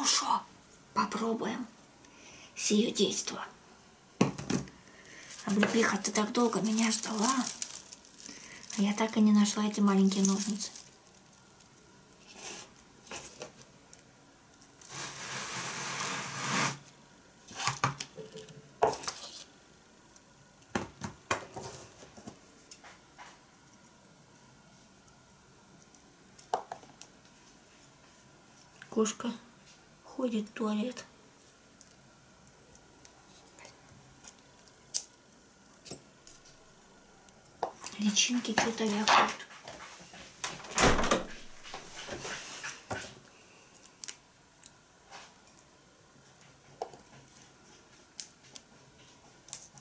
Ну що, попробуємо з її дійства. Облепиха, ты так долго меня ждала, а я так и не нашла эти маленькие ножницы. Кошка ходит в туалет. Личинки что-то вякают.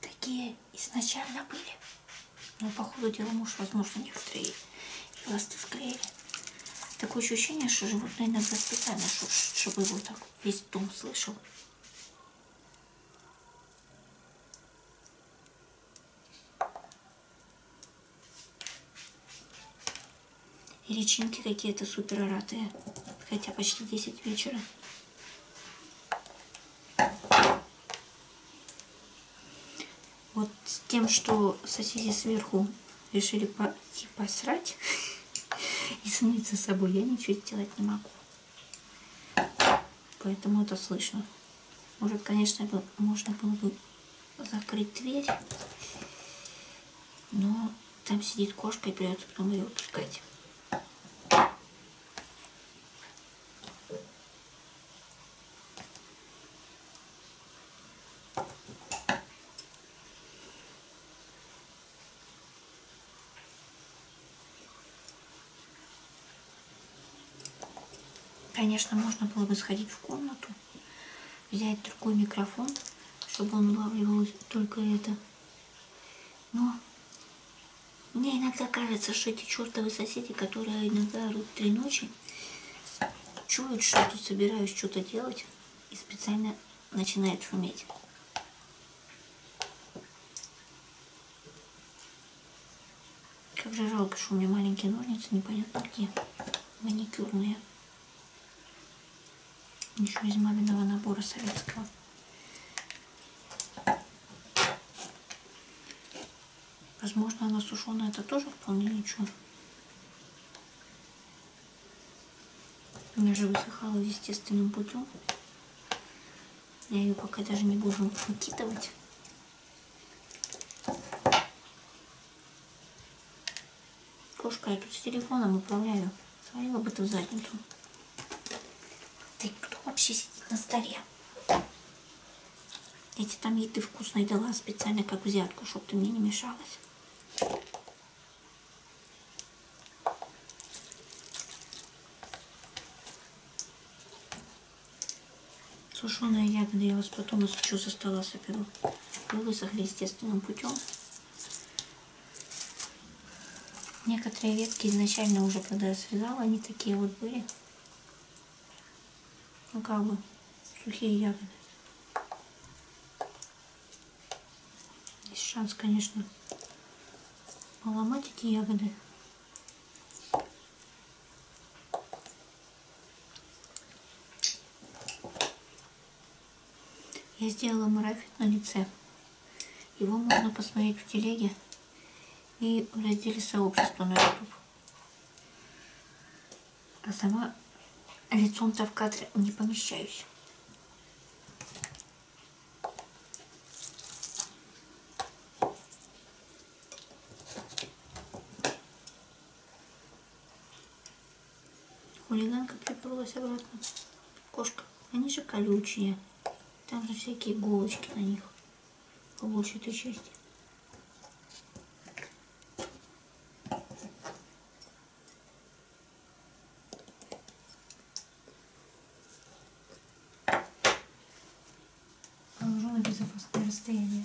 такие изначально были. Но по ходу дела муж, возможно, некоторые хвосты склеили. Такое ощущение, что животное иногда специально шуршит, чтобы его так весь дом слышал. И личинки какие-то супер ротые, хотя почти 10 вечера. Вот с тем, что соседи сверху решили пойти типа, посрать и смыться с собой, я ничего сделать не могу. Поэтому это слышно. Может, конечно, можно было бы закрыть дверь, но там сидит кошка и придется потом ее выпускать. Конечно, можно было бы сходить в комнату, взять другой микрофон, чтобы он улавливал только это. Но мне иногда кажется, что эти чертовы соседи, которые иногда орут три ночи, чуют, что тут собираюсь что-то делать и специально начинают шуметь. Как же жалко, что у меня маленькие ножницы, непонятно где, маникюрные. Еще из маминого набора советского. Возможно, она сушеная, это тоже вполне ничего. Она же высыхала естественным путем. Я ее пока даже не буду выкидывать. Кошка, я тут с телефоном управляю. Свалила бы ты в задницу. Ты кто вообще сидит на столе? Я тебе там еды вкусной дала специально как взятку, чтобы ты мне не мешалась. Сушеные ягоды я вас потом еще со стола соберу. Вы высохли естественным путем. Некоторые ветки изначально уже, когда я срезала, они такие вот были агавы, сухие ягоды. Есть шанс, конечно, поломать эти ягоды. Я сделала марафет на лице. Его можно посмотреть в телеге и в разделе сообщества на YouTube. А сама лицом-то в кадре не помещаюсь. Хулиганка приперлась обратно. Кошка. Они же колючие. Там же всякие иголочки на них по большей этой части. Положу на безопасное расстояние.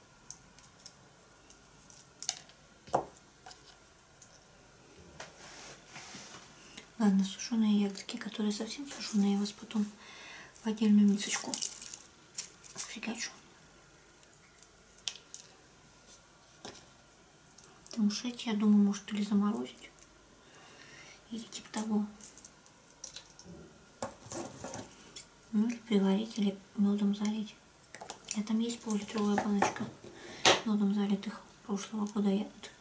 Ладно, сушеные ягодки, которые совсем сушеные, я вас потом в отдельную мисочку прикачу. Потому что эти, я думаю, может или заморозить, или типа того. Ну или приварить, или медом залить. Я а там есть полулитровая баночка медом залитых прошлого года ягод.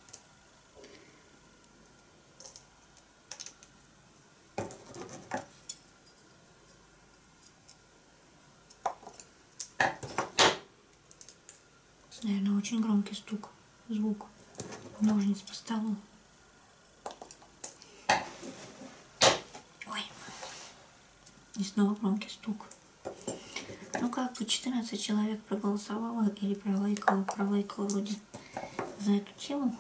Наверное, очень громкий стук, звук ножниц по столу. Ой. И снова громкий стук. Ну как бы 14 человек проголосовало или пролайкало, пролайкало вроде за эту тему.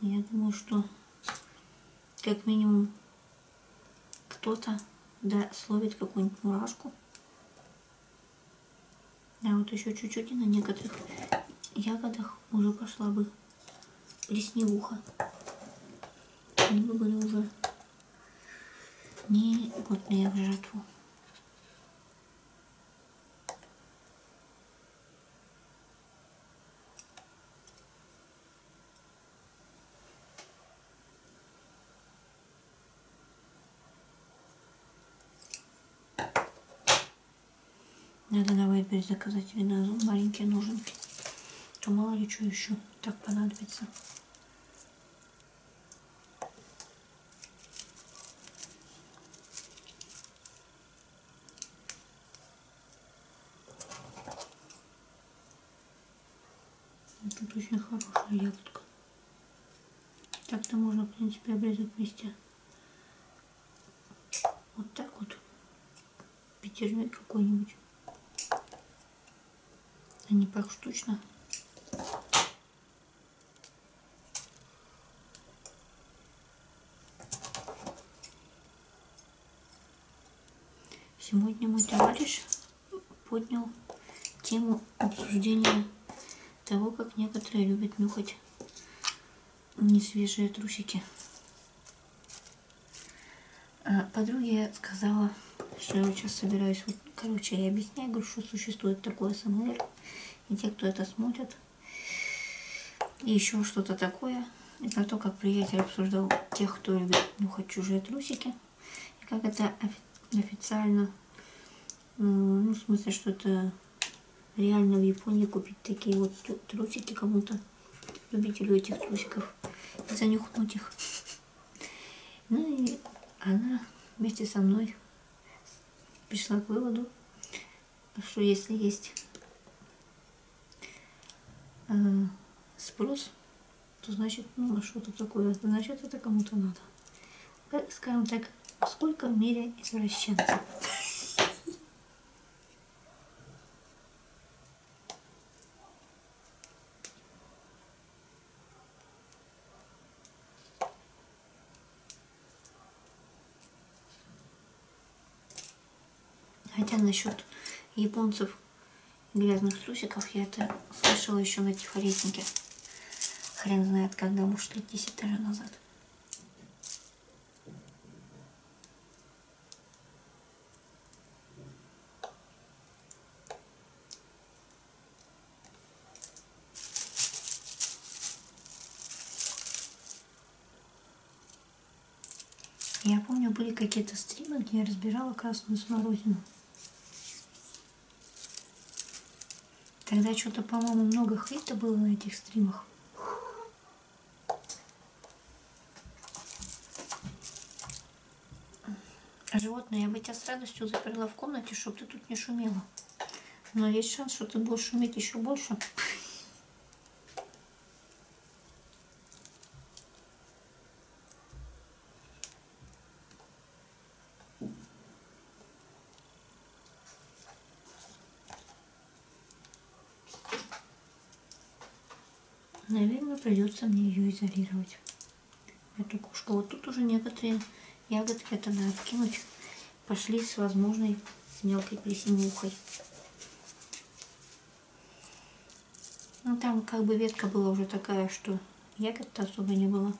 Я думаю, что как минимум кто-то да, словит какую-нибудь мурашку. Да, вот еще чуть-чуть и на некоторых ягодах уже пошла бы Лесневуха. Немного уже негодная в жертву. Надо давай опять заказать винозум, маленькие а ноженки. То а мало ли что еще так понадобится. Ну, тут очень хорошая ягодка. Так-то можно, в принципе, обрезать вместе. Вот так вот пятерник какой-нибудь. Они а так штучно. Сегодня мой товарищ поднял тему обсуждения того, как некоторые любят нюхать несвежие трусики. Э, подруге сказала, что я сейчас собираюсь, вот, короче, я объясняю, говорю, что существует такое СМР, и те, кто это смотрит, и еще что-то такое, и про то, как приятель обсуждал тех, кто любит нюхать «Ну, чужие трусики, и как это официально, э, ну, в смысле, что это реально в Японии купить такие вот трусики кому-то, любителю этих трусиков и занюхнуть их. Ну и она вместе со мной пришла к выводу, что если есть э, спрос, то значит, ну, а что-то такое, значит, это кому-то надо. Как, э, скажем так, сколько в мире извращенцев? Хотя насчет японцев грязных трусиков я это слышала еще на тихоречнике. Хрен знает, когда, может, лет 10 даже назад. Я помню, были какие-то стримы, где я разбирала красную смородину. Тогда что-то, по-моему, много хейта было на этих стримах. Животное, я бы тебя с радостью заперла в комнате, чтобы ты тут не шумела. Но есть шанс, что ты будешь шуметь еще больше. Наверное, придется мне ее изолировать. Эту кошку. Вот тут уже некоторые ягодки это надо откинуть. Пошли с возможной с мелкой плесенюхой. Ну там как бы ветка была уже такая, что ягод-то особо не было.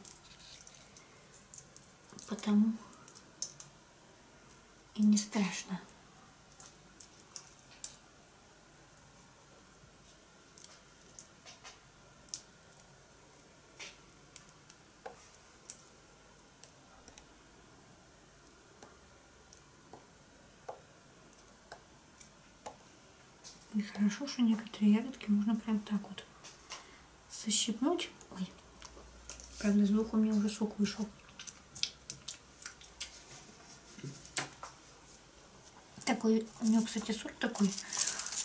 Потому и не страшно. И хорошо, что некоторые ягодки можно прям так вот защипнуть. Ой, правда, из двух у меня уже сок вышел. Такой, у него, кстати, сорт такой.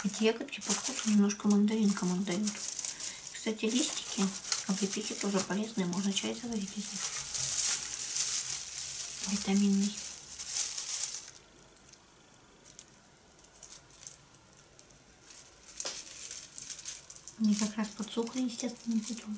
Эти ягодки по вкусу немножко мандаринкам отдают. Кстати, листики облепихи а тоже полезные. Можно чай заварить из них. Витаминный. Они как раз подсохли, естественно, потом.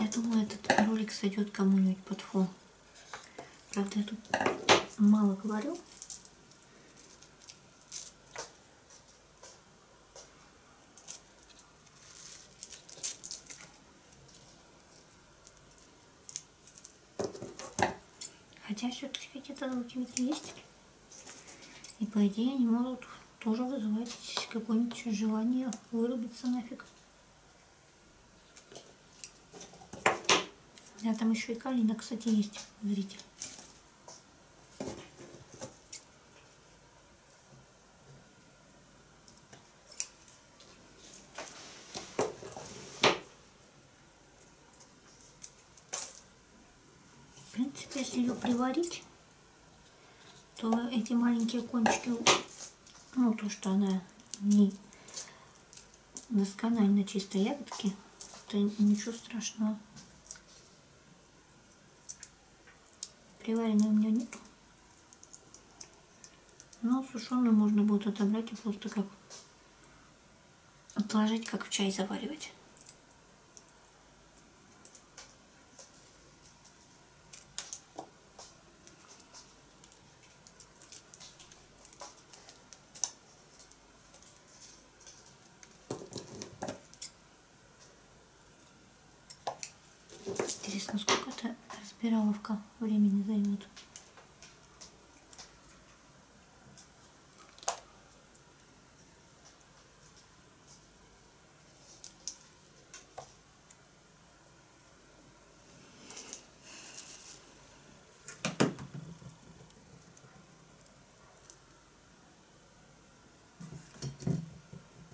Я думаю, этот ролик сойдет кому-нибудь под фон. Правда, я тут мало говорю. Хотя все-таки какие-то звуки есть. И по идее они могут тоже вызывать какое-нибудь желание вырубиться нафиг. Да, там еще и калина, кстати, есть, зритель. В принципе, если ее приварить, то эти маленькие кончики, ну, то, что она не досконально чистой ягодки, это ничего страшного. Приваренной у меня нет. Но сушеную можно будет отобрать и просто как отложить, как в чай заваривать. Интересно, сколько эта разбираловка времени займет?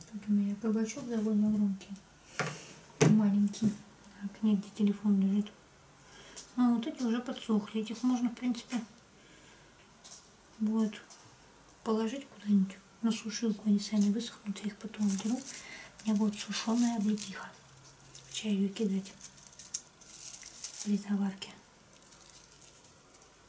Тут у меня кабачок довольно громкий, маленький. Так, негде телефон лежит. А вот эти уже подсохли. Этих можно, в принципе, будет положить куда-нибудь на сушилку. Они сами высохнут, я их потом беру. У меня будет сушеная облепиха. В чай ее кидать при заварке.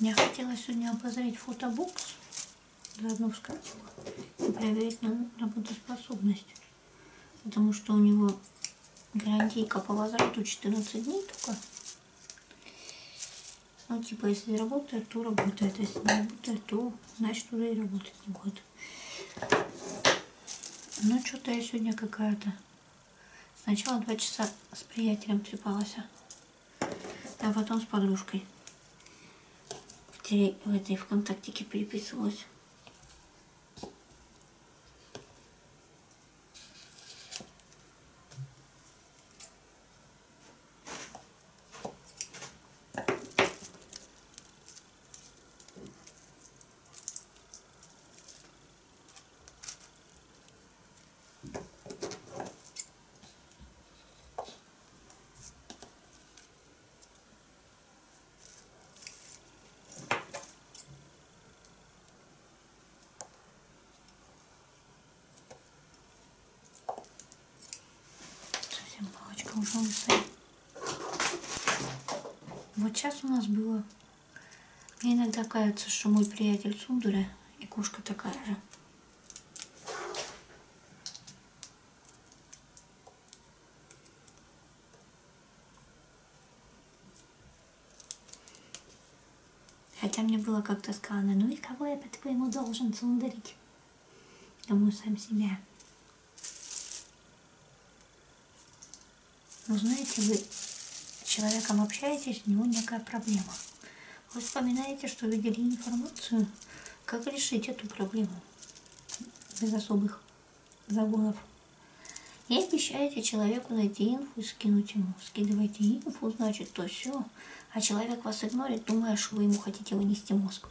Я хотела сегодня обозреть фотобокс заодно и проверить на работоспособность. Потому что у него гарантийка по возврату 14 дней только. Ну, типа, если работает, то работает. Если не работает, то значит уже и работать не будет. Ну, что-то я сегодня какая-то. Сначала два часа с приятелем трепалась. А потом с подружкой в, теле, в этой ВКонтактике переписывалась. Совсем палочка уже устоит. Вот сейчас у нас было. Мне иногда кажется, что мой приятель Сундуля и кошка такая же. Хотя мне было как-то сказано, ну и кого я по-твоему должен цундарить? Думаю, сам себя. Но ну, знаете, вы с человеком общаетесь, у него некая проблема. Вы вспоминаете, что видели информацию, как решить эту проблему без особых загонов. И обещаете человеку найти инфу и скинуть ему. Скидывайте инфу, значит, то все. А человек вас игнорит, думая, что вы ему хотите вынести мозг.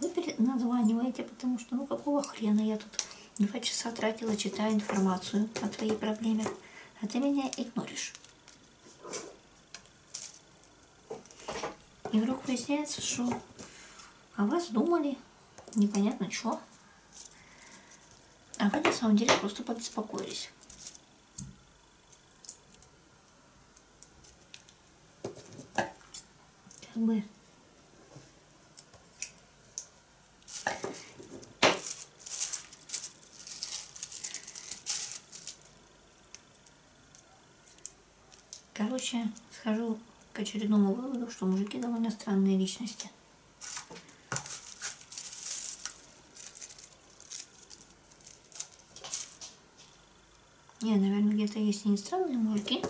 Вы названиваете, потому что ну какого хрена я тут два часа тратила, читая информацию о твоей проблеме а ты меня игноришь. И вдруг выясняется, что о вас думали непонятно что. А вы на самом деле просто побеспокоились. Как бы Короче, схожу к очередному выводу, что мужики довольно странные личности. Не, наверное, где-то есть и не странные мужики.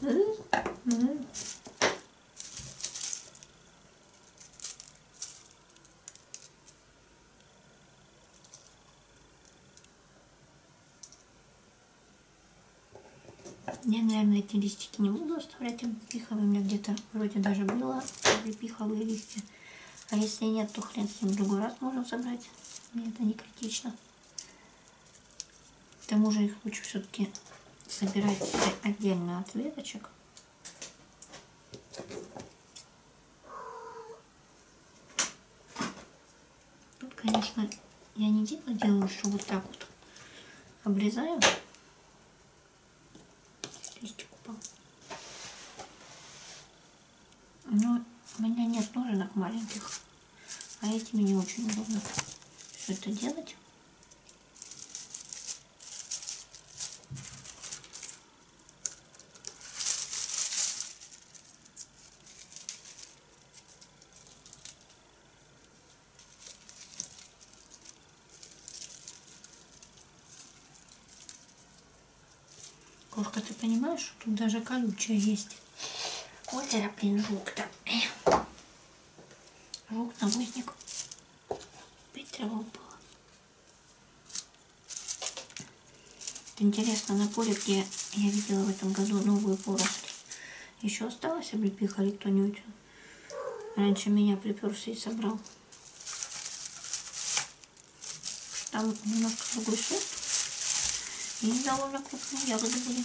М-м-м. Я, наверное, эти листики не буду оставлять облепиховые. У меня где-то вроде даже было облепиховые листья. А если нет, то хрен с ним другой раз можем собрать. Мне это не критично. К тому же их лучше все-таки собирать отдельно от веточек. Тут, конечно, я не дело делаю, что вот так вот обрезаю листик упал. Но у меня нет ноженок маленьких, а этими не очень удобно все это делать. Кошка, ты понимаешь, что тут даже колючая есть. Вот я, блин, жук-то. Раук навозник. Опять трава упала. Интересно, на поле, где я видела в этом году новую поросль, еще осталась облепиха или кто-нибудь раньше меня приперся и собрал. Там вот немножко другой сорт. И довольно крупные ягоды были.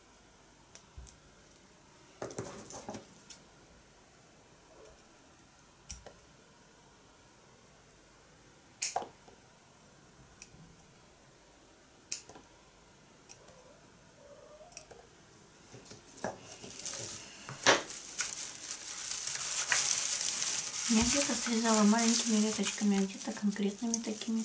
Я где-то срезала маленькими веточками, а где-то конкретными такими.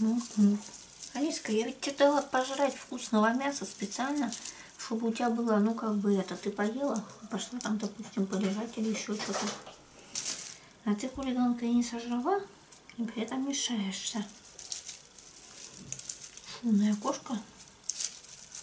Угу. Алиска, я ведь тебе дала пожрать вкусного мяса специально, чтобы у тебя было, ну как бы это, ты поела, пошла там, допустим, полежать или еще что-то. А ты, хулиганка, и не сожрала, и при этом мешаешься. Шумная кошка.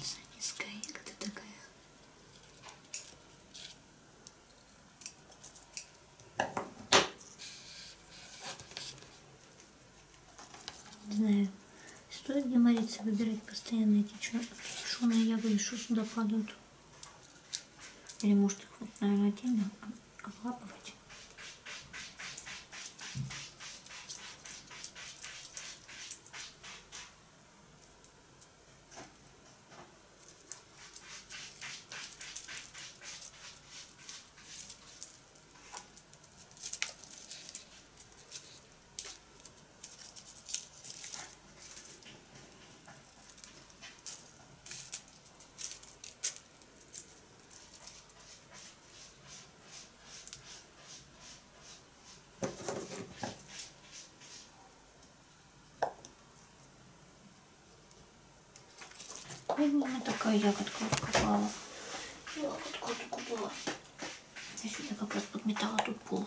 Самиска, как ты такая? Не знаю, стоит ли молиться выбирать постоянно эти чушеные ягоды, что сюда падают. Или может их, наверное, отдельно облапывать. Вот такая ягодка копала. Ягодку купила. Я сегодня как раз подметала тут пол.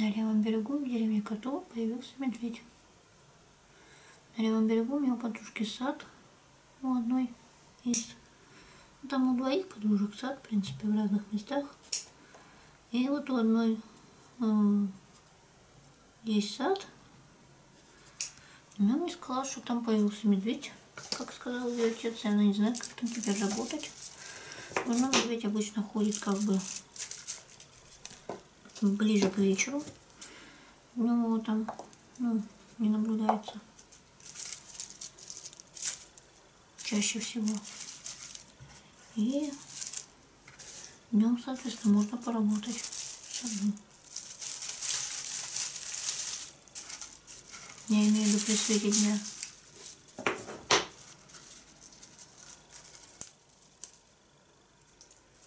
На левом берегу в деревне Котово появился медведь. На левом берегу у меня у подружки сад. У одной из... Ну, там у двоих подружек сад, в принципе, в разных местах. И вот у одной э, есть сад. Она мне сказала, что там появился медведь. Как сказал ее отец, она не знает, как там теперь работать. Но медведь обычно ходит как бы ближе к вечеру у ну, него там ну, не наблюдается чаще всего. И днем, соответственно, можно поработать с одним. Я имею в виду при свете дня.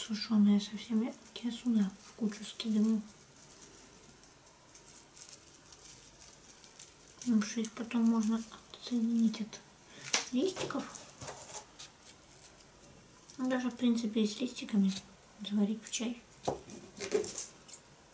Сушеные совсем редкие сюда в кучу скидываю. Потому ну, что их потом можно отсоединить от листиков. Ну, даже, в принципе, и с листиками заварить в чай.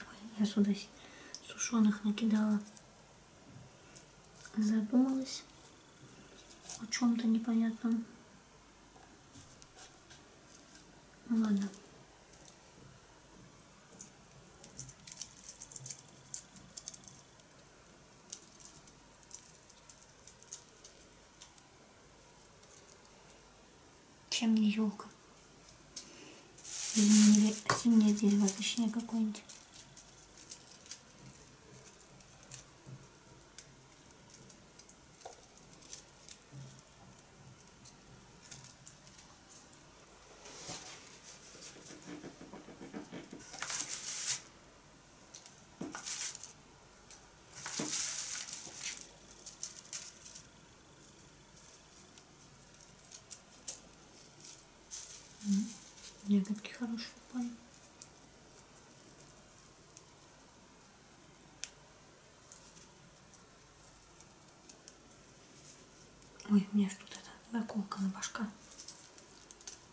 Ой, я сюда сушеных накидала. Задумалась о чем-то непонятном. Ну ладно. Чем не елка? Или зимняя дерево, точнее какое-нибудь. Ягодки хорошие упали. Ой, у меня что-то это наколка на башка.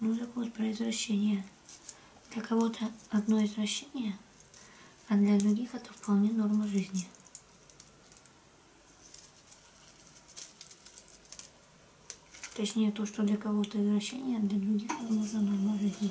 Ну, закон про извращение. Для кого-то одно извращение, а для других это вполне норма жизни. Точнее, то, что для кого-то извращение, а для других, возможно, норма жизни.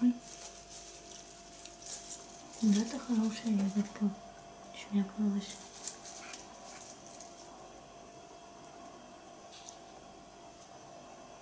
Ой. Да, это хорошая ягодка. Шмякнулась.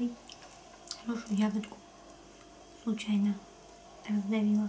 Ой, хорошую ягодку случайно раздавила.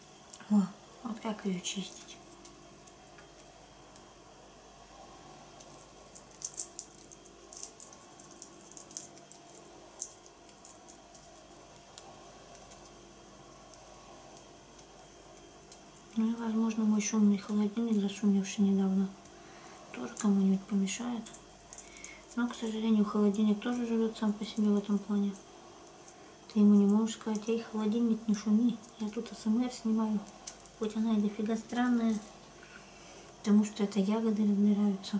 О, вот как ее чистить. Ну и, возможно, мой шумный холодильник, зашумевший недавно, тоже кому-нибудь помешает. Но, к сожалению, холодильник тоже живет сам по себе в этом плане. Ты ему не можешь сказать, эй, холодильник, не шуми, я тут СМР снимаю. Хоть она и дофига странная, потому что это ягоды разбираются.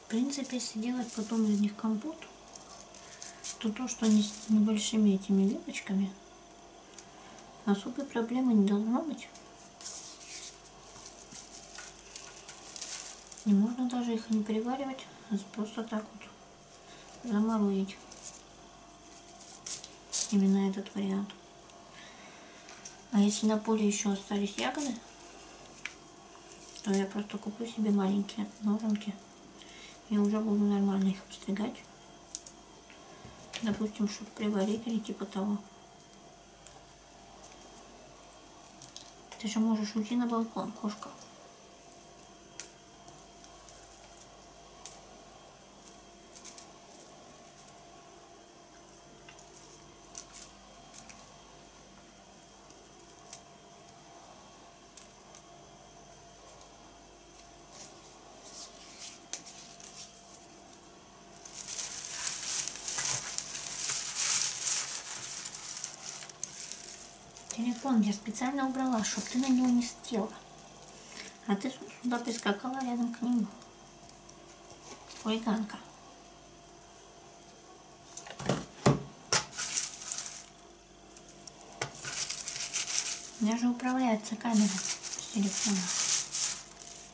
В принципе, если делать потом из них компот, то то, что они с небольшими этими веточками, Особой а проблемы не должно быть. И можно даже их не переваривать, а просто так вот заморозить. Именно этот вариант. А если на поле еще остались ягоды, то я просто куплю себе маленькие ноженки. И уже буду нормально их обстригать допустим, чтобы приварить или типа того. Ты же можешь уйти на балкон, кошка. Телефон я специально убрала, чтобы ты на него не села. А ты сюда прискакала рядом к нему. Ой, Ганка. У меня же управляется камера с телефона.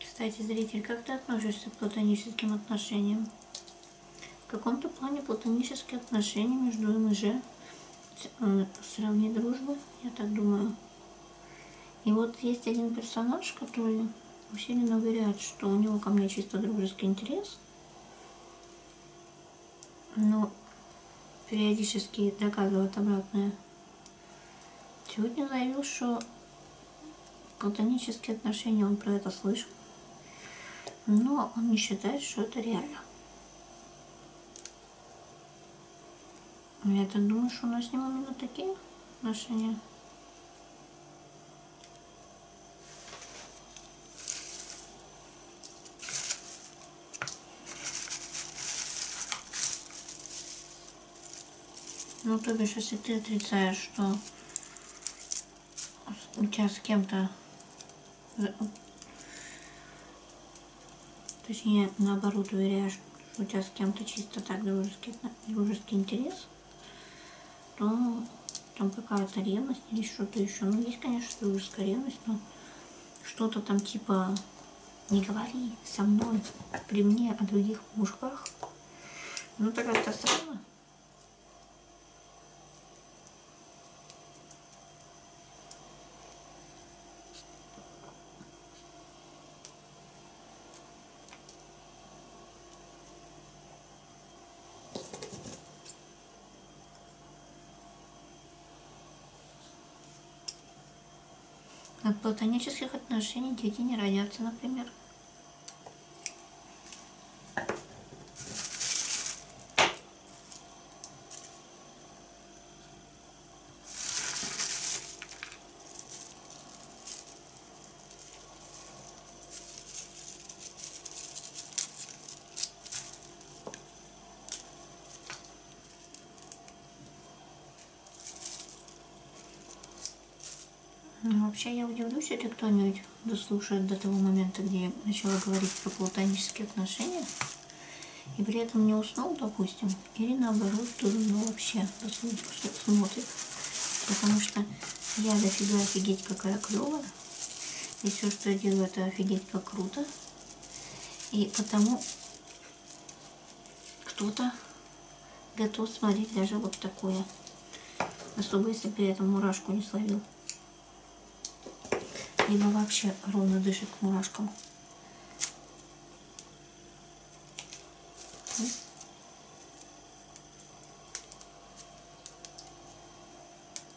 Кстати, зритель, как ты относишься к платоническим отношениям? В каком-то плане платонические отношения между им и же э, сравни дружбы, я так думаю. И вот есть один персонаж, который усиленно уверяет, что у него ко мне чисто дружеский интерес, ну, периодически доказывают обратное. Сегодня заявил, что платонические отношения, он про это слышал, но он не считает, что это реально. Я-то думаю, что у нас с ним именно такие отношения. Ну, то бишь, если ты отрицаешь, что у тебя с кем-то... Точнее, наоборот, уверяешь, что у тебя с кем-то чисто так дружеский, дружеский интерес, то там какая-то ревность или что-то еще. Ну, есть, конечно, дружеская ревность, но что-то там типа не говори со мной при мне о других мужиках. Ну, так это странно. От платонических отношений дети не родятся, например. Ну, вообще я удивлюсь, если кто-нибудь дослушает до того момента, где я начала говорить про платонические отношения, и при этом не уснул, допустим, или наоборот, ну вообще дослушает, смотрит. Потому что я дофига офигеть какая клевая, и все, что я делаю, это офигеть как круто. И потому кто-то готов смотреть даже вот такое. Особо, если при этом мурашку не словил. Либо вообще ровно дышит к мурашкам.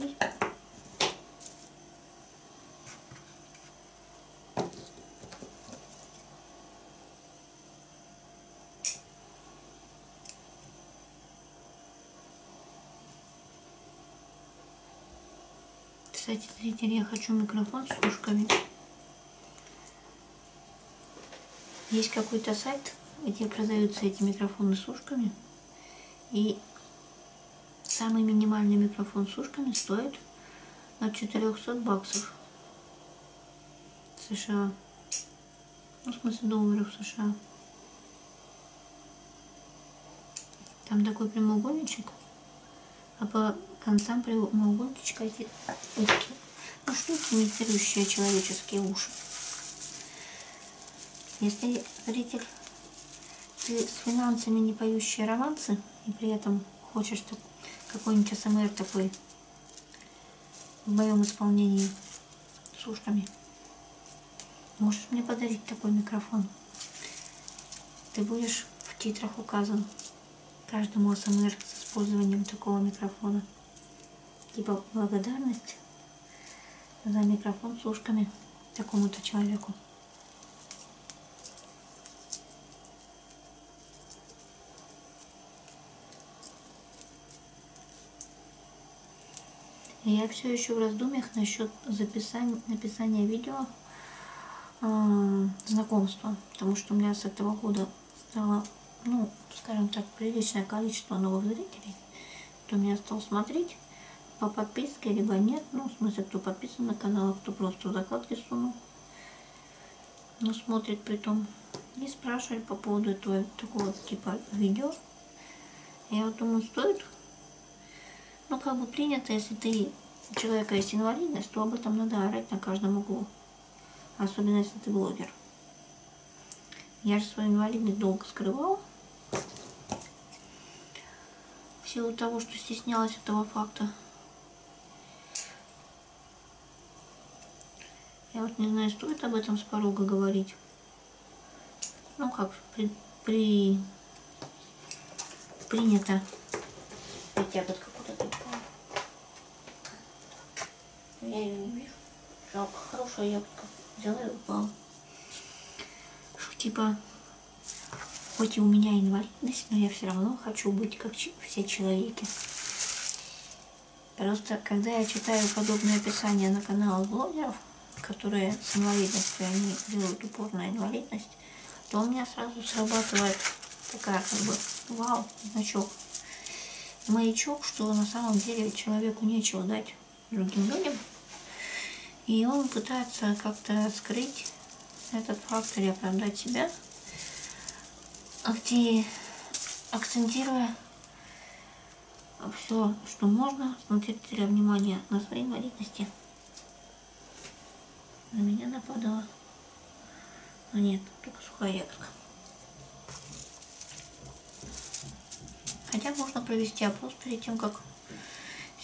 Ой. Кстати, зрители, я хочу микрофон с ушками. Есть какой-то сайт, где продаются эти микрофоны с ушками. И самый минимальный микрофон с ушками стоит от 400 баксов США. Ну, в смысле, долларов США. Там такой прямоугольничек, а по концам прямоугольничка эти ушки. Ну, что имитирующие человеческие уши. Если зритель, ты с финансами не поющие романсы, и при этом хочешь какой-нибудь СМР такой в моем исполнении с ушками, можешь мне подарить такой микрофон? Ты будешь в титрах указан каждому СМР с использованием такого микрофона типа благодарность за микрофон с ушками такому-то человеку. Я все еще в раздумьях насчет записания, написания видео э, знакомства, потому что у меня с этого года стало, ну, скажем так, приличное количество новых зрителей кто меня стал смотреть по подписке, либо нет. Ну, в смысле, кто подписан на канал, а кто просто закладки сунул. Но ну, смотрит при том. И спрашивали по поводу этого такого типа видео. Я вот думаю, стоит. Ну, как бы принято, если ты у человека есть инвалидность, то об этом надо орать на каждом углу. Особенно, если ты блогер. Я же свою инвалидность долго скрывала. В силу того, что стеснялась этого факта. Я вот не знаю, стоит об этом с порога говорить. Ну, как при, при принято. Хотя бы какую-то Я ее не вижу. Жалко, хорошая ягодка. Взяла и упала. Что типа, хоть и у меня инвалидность, но я все равно хочу быть как все человеки. Просто когда я читаю подобные описания на каналах блогеров, которые с инвалидностью, они делают упор на инвалидность, то у меня сразу срабатывает такая как бы вау, значок, маячок, что на самом деле человеку нечего дать другим людям. И он пытается как-то скрыть этот факт или оправдать себя, а где акцентируя все, что можно, смотрите внимание на свои инвалидности. На меня нападала. Но а нет, только сухая ягодка. Хотя можно провести опрос перед тем, как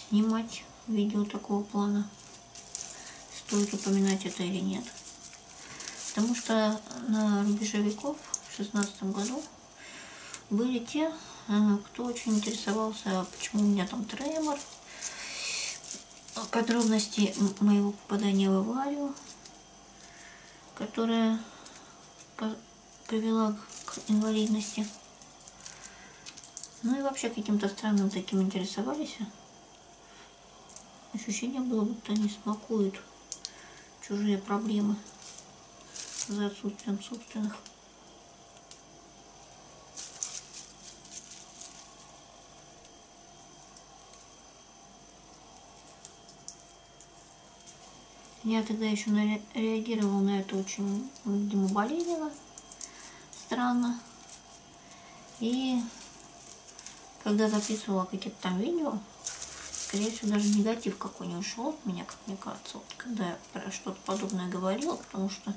снимать видео такого плана. Стоит упоминать это или нет. Потому что на рубеже веков в 16 году были те, э, кто очень интересовался, почему у меня там тремор, подробности моего попадания в аварию, которая привела к инвалидности. Ну и вообще каким-то странным таким интересовались. Ощущение было, будто они смакуют чужие проблемы за отсутствием собственных. Я тогда еще на реагировала на это очень, видимо, болезненно, странно. И когда записывала какие-то там видео, скорее всего, даже негатив какой-нибудь шел от меня, как мне кажется, вот, когда я про что-то подобное говорила, потому что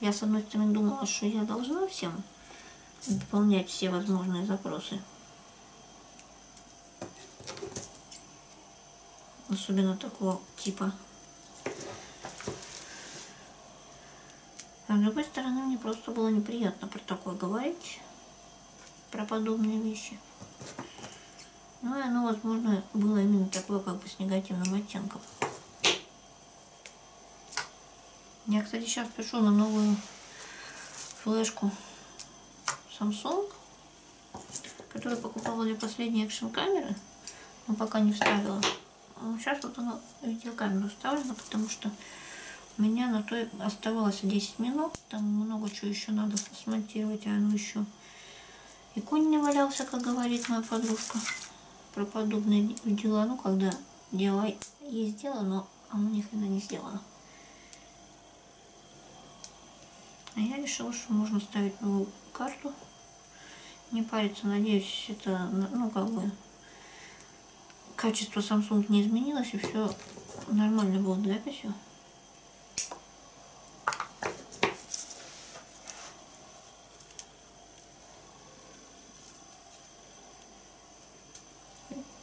я, с одной стороны, думала, что я должна всем выполнять все возможные запросы. Особенно такого типа. А с другой стороны, мне просто было неприятно про такое говорить, про подобные вещи. Ну и оно, возможно, было именно такое, как бы с негативным оттенком. Я, кстати, сейчас пишу на новую флешку Samsung которую покупала для последней экшн камеры, но пока не вставила. Сейчас ну, вот она видеокамеру вставлена, потому что у меня на то оставалось 10 минут, там много чего еще надо смонтировать, а оно еще и конь не валялся, как говорит моя подружка, про подобные дела, ну когда дело есть дело, но оно ни хрена не сделано. А я решила, что можно ставить новую карту. Не париться, надеюсь, это, ну, как бы, качество Samsung не изменилось, и все нормально было для записью.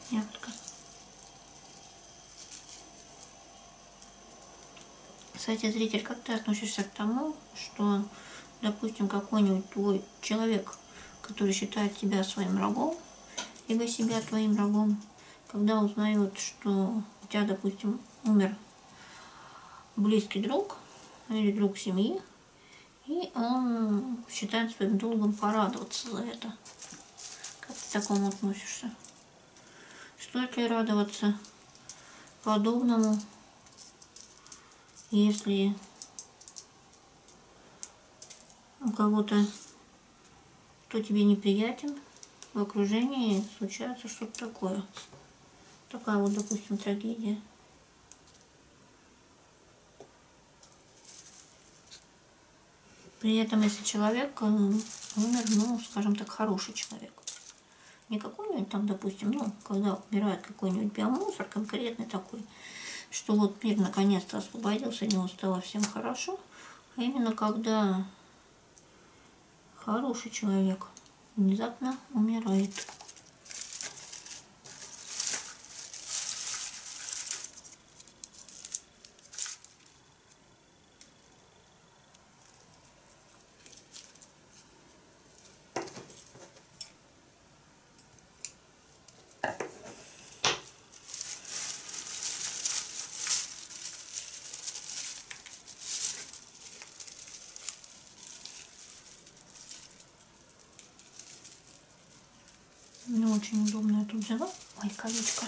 Несколько. Кстати, зритель, как ты относишься к тому, что, допустим, какой-нибудь твой человек, который считает тебя своим врагом, либо себя твоим врагом, когда узнает, что у тебя, допустим, умер близкий друг или друг семьи, и он считает своим долгом порадоваться за это. Как ты к такому относишься? Стоит ли радоваться подобному, если у кого-то, кто тебе неприятен, в окружении случается что-то такое. Такая вот, допустим, трагедия. При этом, если человек э, умер, ну, скажем так, хороший человек человек. Не какой-нибудь там, допустим, ну, когда умирает какой-нибудь биомусор, конкретный такой, что вот мир наконец-то освободился, ему стало всем хорошо, а именно когда хороший человек внезапно умирает. Не очень удобно я тут взяла. Ой, колечко.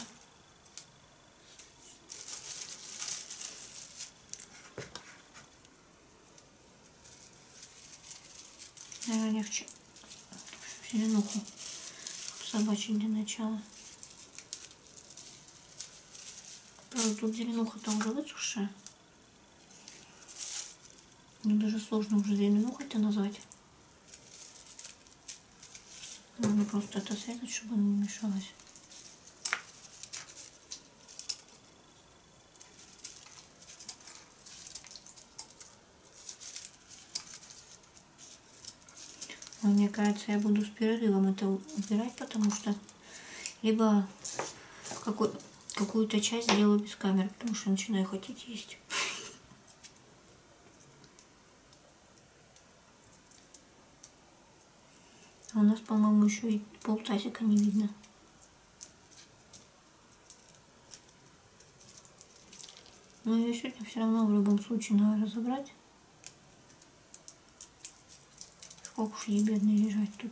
Наверное, легче в зеленуху собачий для начала. Правда, тут зеленуха-то уже высушая. Мне даже сложно уже зеленухой-то назвать. Надо ну, просто это срезать, чтобы оно не мешалось. Но мне кажется, я буду с перерывом это убирать, потому что либо какой, какую-то часть сделаю без камеры, потому что начинаю хотеть есть. А у нас, по-моему, еще и полтасика не видно. Но ее сегодня все равно в любом случае надо разобрать. Сколько уж ей бедной лежать тут.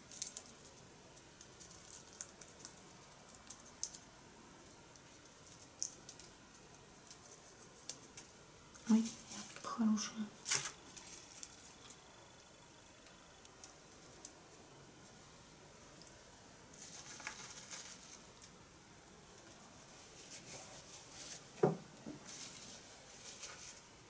Ой, хорошая.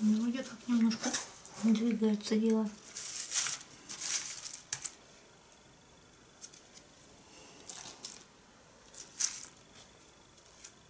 Ну, идет как немножко двигается дело.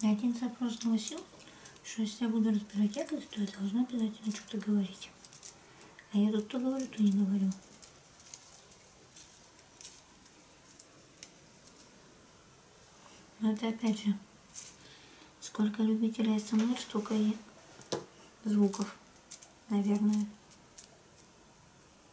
Я один запрос наносил, что если я буду разбирать якость, то я должна обязательно что-то говорить. А я тут то говорю, то не говорю. Но это опять же, сколько любителей СМР, столько и звуков, наверное.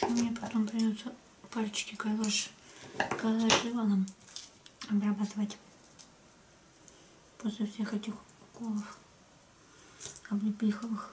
Почему мне потом придется пальчики калаш, калаш Иваном? обрабатывать после всех этих уколов облепиховых.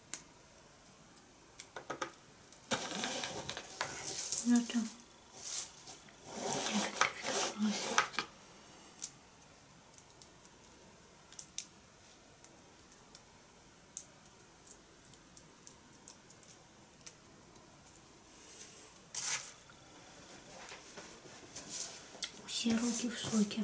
Это Все руки в соке.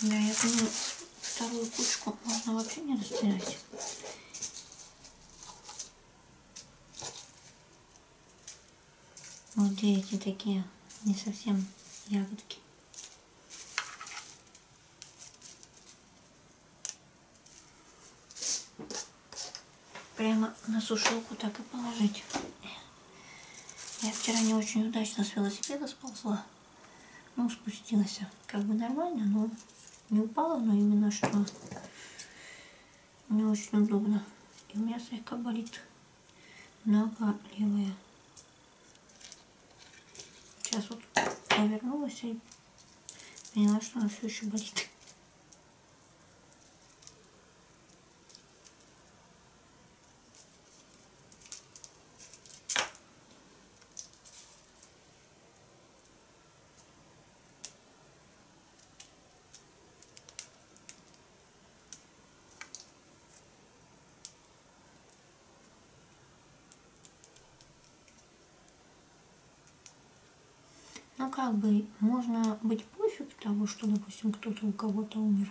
Да, я думаю, вторую кучку можно вообще не растирать. Вот ну, эти такие не совсем ягодки. Прямо на сушилку так и положить. Я вчера не очень удачно с велосипеда сползла. Ну, спустилась. Как бы нормально, но не упала, но именно что мне очень удобно. И у меня слегка болит нога левая. Сейчас вот повернулась и поняла, что она все еще болит. Ну как бы, можно быть пофиг того, что, допустим, кто-то у кого-то умер.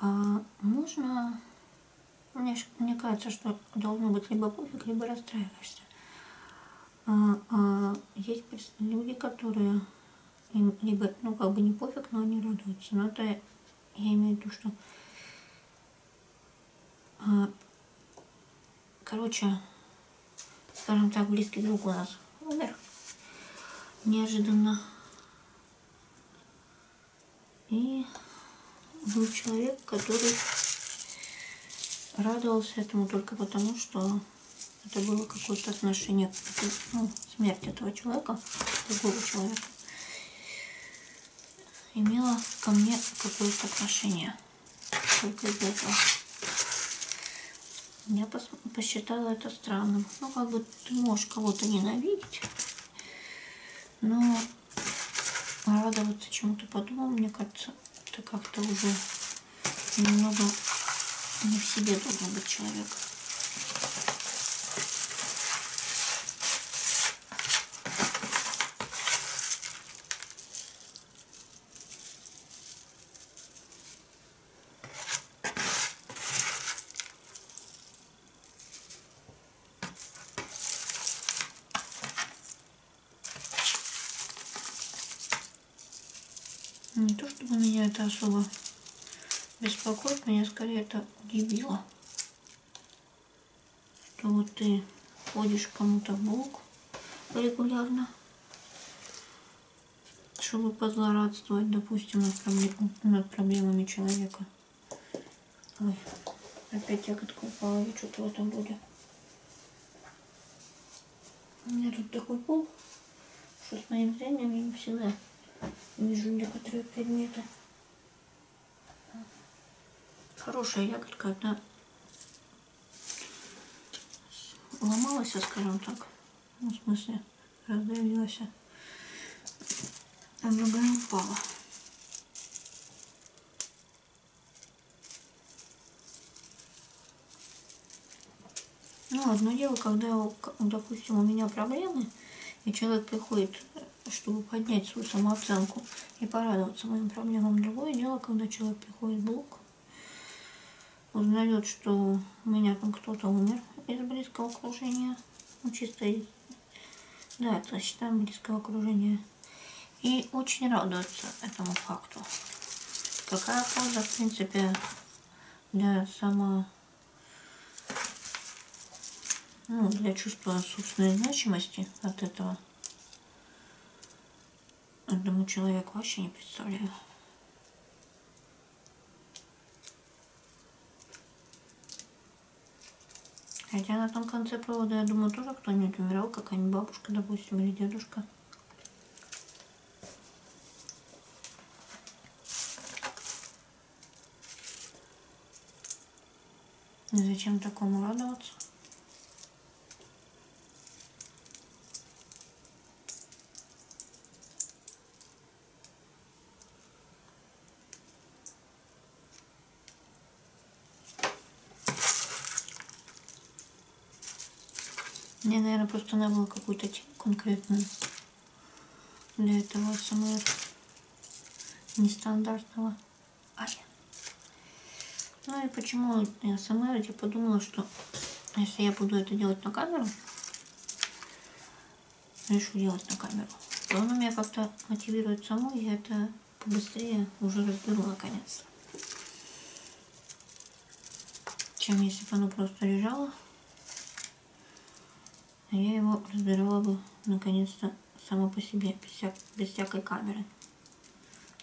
А можно... Мне, мне кажется, что должно быть либо пофиг, либо расстраиваешься. А, а, есть люди, которые либо, ну, как бы не пофиг, но они радуются. Но это я имею в виду, что... А, короче, скажем так, близкий друг у нас умер. Неожиданно. И был человек, который радовался этому только потому, что что это было какое-то отношение к ну, смерти этого человека, другого человека, имело ко мне какое-то отношение. Только из-за этого. Я пос посчитала это странным. Ну, как бы ты можешь кого-то ненавидеть, но рада вот чему-то подумал, мне кажется, это как-то уже немного не в себе должен быть человек. Ну, не то, чтобы меня это особо беспокоит, меня скорее это удивило. Что вот ты ходишь кому-то в бок регулярно, чтобы позлорадствовать, допустим, над, проблем, над проблемами человека. Ой, опять ягодка упала, я что-то в этом роде. У меня тут такой пол, что с моим зрением я не всегда вижу некоторые предметы. Хорошая ягодка, одна ломалась, скажем так. Ну, в смысле, раздавилась. А другая упала. Ну, одно дело, когда, допустим, у меня проблемы, и человек приходит, чтобы поднять свою самооценку и порадоваться моим проблемам. Другое дело, когда человек приходит в блок, узнает, что у меня там кто-то умер из близкого окружения, ну, чисто из... Да, это считаем близкого окружения. И очень радуется этому факту. Какая польза, в принципе, для само... Ну, для чувства собственной значимости от этого. Одному человеку вообще не представляю. Хотя на том конце провода, я думаю, тоже кто-нибудь умирал, какая-нибудь бабушка, допустим, или дедушка. И ну, зачем такому радоваться? Мне, наверное, просто надо было какую-то конкретную для этого СМР нестандартного. Ай. Ну и почему СМР? Я подумала, что если я буду это делать на камеру, решу делать на камеру, то оно меня как-то мотивирует само, и я это побыстрее уже разберу наконец-то. Чем если бы оно просто лежало. А я его разбирала бы, наконец-то, сама по себе, без, вся... без всякой камеры.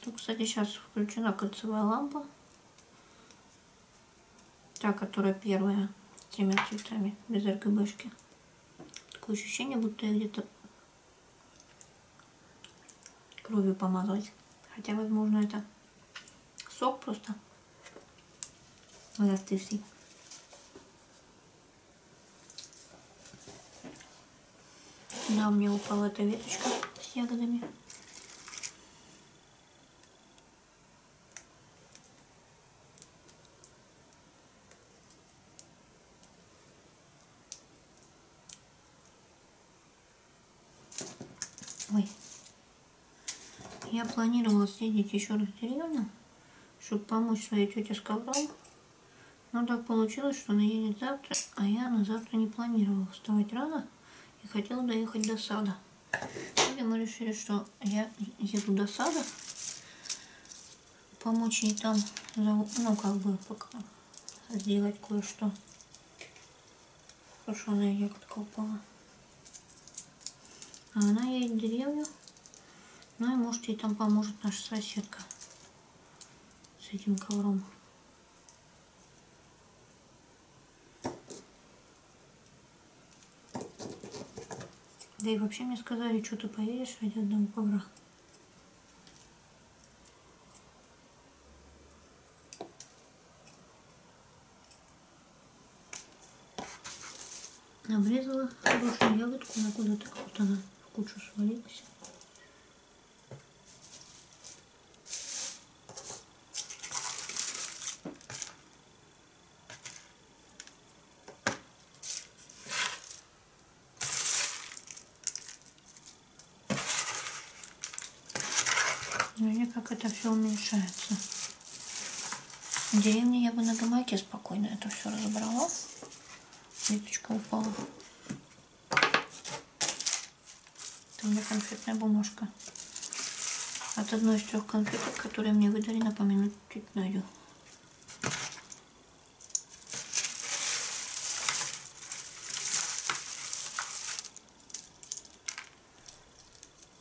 Тут, кстати, сейчас включена кольцевая лампа. Та, которая первая, с тремя цветами, без РКБшки. Такое ощущение, будто я где-то кровью помазалась. Хотя, возможно, это Сок просто застывший. Да, мне упала эта веточка с ягодами. Ой. Я планировала съездить еще раз в деревню, чтобы помочь своей тете с ковром. Но так получилось, что она едет завтра, а я на завтра не планировала вставать рано и хотела доехать до сада. И мы решили, что я еду до сада, помочь ей там, ну как бы пока сделать кое-что сушеная ягодка упала. А она едет в деревню. Ну и может ей там поможет наша соседка с этим ковром. Да и вообще мне сказали, что ты поедешь ради одного ковра. Обрезала хорошую ягодку, но куда-то вот она в кучу свалилась. Смотри, ну как это все уменьшается. В деревне я бы на гамаке спокойно это все разобрала. Ниточка упала. Это у меня конфетная бумажка. От одной из трех конфеток, которые мне выдали, напоминать чуть найду.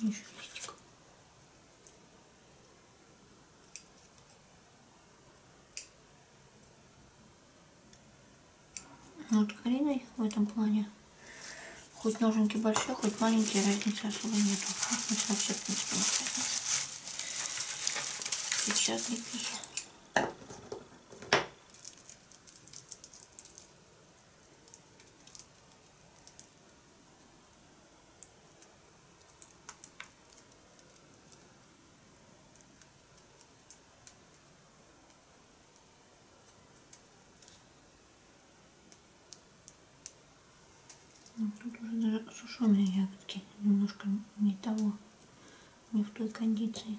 Еще листик. Ну, вот Кариной в этом плане. Хоть ноженки большие, хоть маленькие, разницы особо нету. Разницы вообще, в принципе, нет разницы. Сейчас лепи. Ну, тут уже даже сушеные ягодки. Немножко не того, не в той кондиции.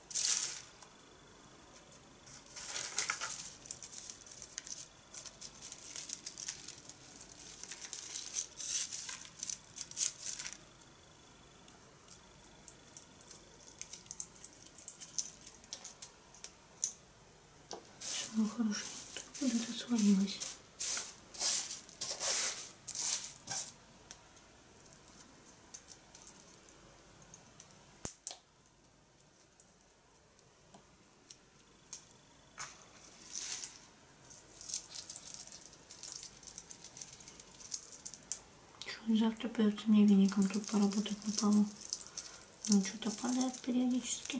Все, хорошо. Куда-то свалилась. Завтра придется мне веником тут поработать на полу. Он ну, что-то падает периодически.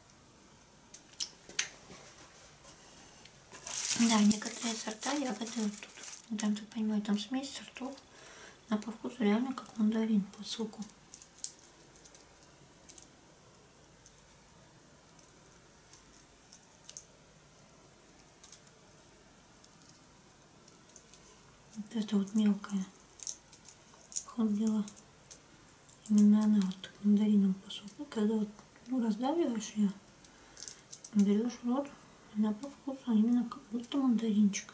Да, некоторые сорта ягоды вот тут. Я там тут понимаю, там смесь сортов. А по вкусу реально как мандарин по соку. Вот это вот мелкое. Ходила. Именно она вот так мандарином посыпала. Ну, когда вот ну, раздавливаешь ее, берешь в рот, она по вкусу а именно как будто мандаринчик.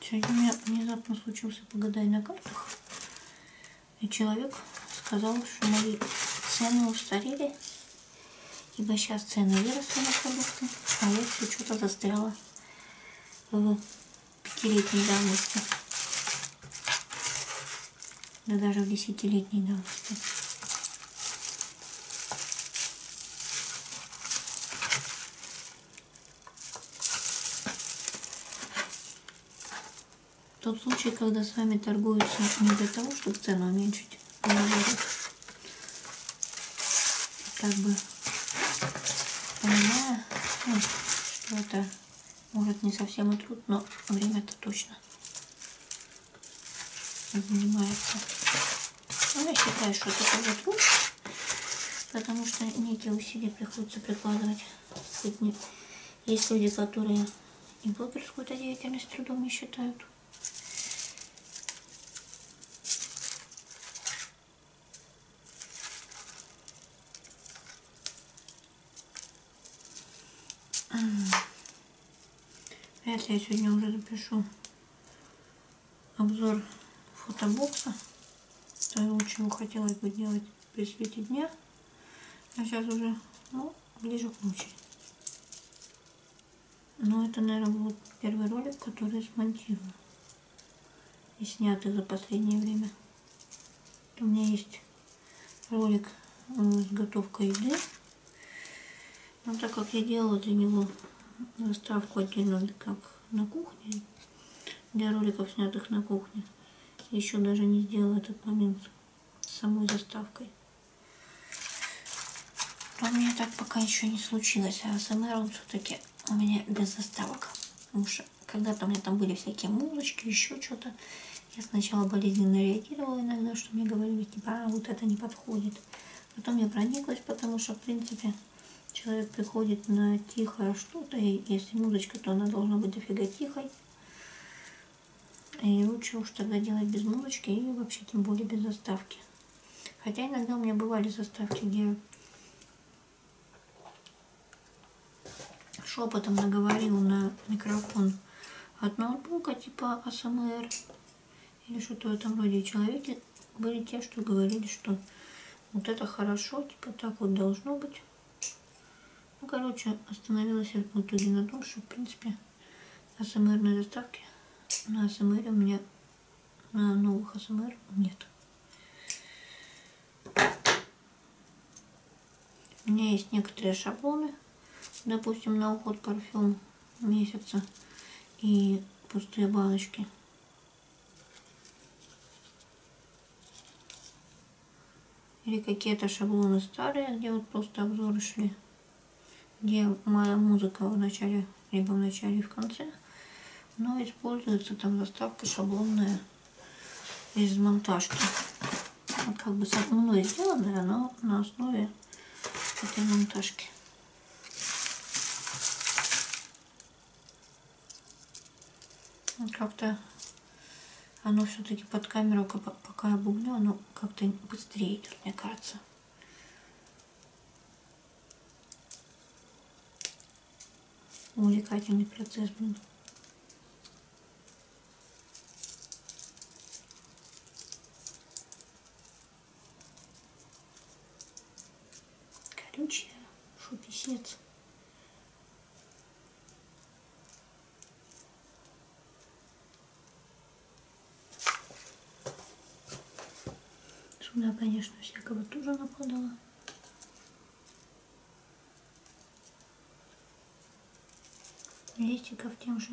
Сегодня у меня внезапно случился погадай на картах. И человек сказал, что мои цены устарели. Ибо сейчас цены выросли на продукты, а я все что-то застряла в пятилетней давности. Да даже в десятилетней давности. Тот случай, когда с вами торгуются не для того, чтобы цену уменьшить, а как бы понимая, ну, что это может не совсем и труд, но время-то точно занимается. Но а я считаю, что это будет лучше, потому что некие усилия приходится прикладывать. Хоть не... Есть люди, которые и блогерскую-то деятельность трудом не считают. Вряд ли я сегодня уже запишу обзор фотобокса того, чего хотелось бы делать при свете дня. А сейчас уже, ну, ближе к ночи. Но это, наверное, был первый ролик, который смонтировал и сняты за последнее время. У меня есть ролик э, с готовкой еды. Но ну, так как я делала для него заставку отдельно, как на кухне, для роликов, снятых на кухне, еще даже не сделала этот момент с самой заставкой. Но у меня так пока еще не случилось, а СМР он все-таки у меня без заставок. Потому что когда-то у меня там были всякие музычки, еще что-то. Я сначала болезненно реагировала иногда, что мне говорили, типа, а, вот это не подходит. Потом я прониклась, потому что, в принципе, человек приходит на тихое что-то, и если музычка, то она должна быть дофига тихой. И лучше уж тогда делать без музычки и вообще тем более без заставки. Хотя иногда у меня бывали заставки, где шепотом наговорил на микрофон от ноутбука типа АСМР или что-то в этом роде. И человеки были те, что говорили, что вот это хорошо, типа так вот должно быть. Ну, короче, остановилась я в итоге на том, что, в принципе, АСМРной доставки на АСМР у меня, на новых АСМР нет. У меня есть некоторые шаблоны, допустим, на уход парфюм месяца и пустые баночки. Или какие-то шаблоны старые, где вот просто обзоры шли. Где моя музыка в начале, либо в начале и в конце. Но используется там доставка шаблонная из монтажки. Вот как бы со мной сделанная, но на основе этой монтажки. Ну, как-то оно все-таки под камеру, пока я бубню, оно как-то быстрее идет, мне кажется. Увлекательный процесс, блин. Колючая, шупесец. Сюда, конечно, всякого тоже нападала. Листиков тем же.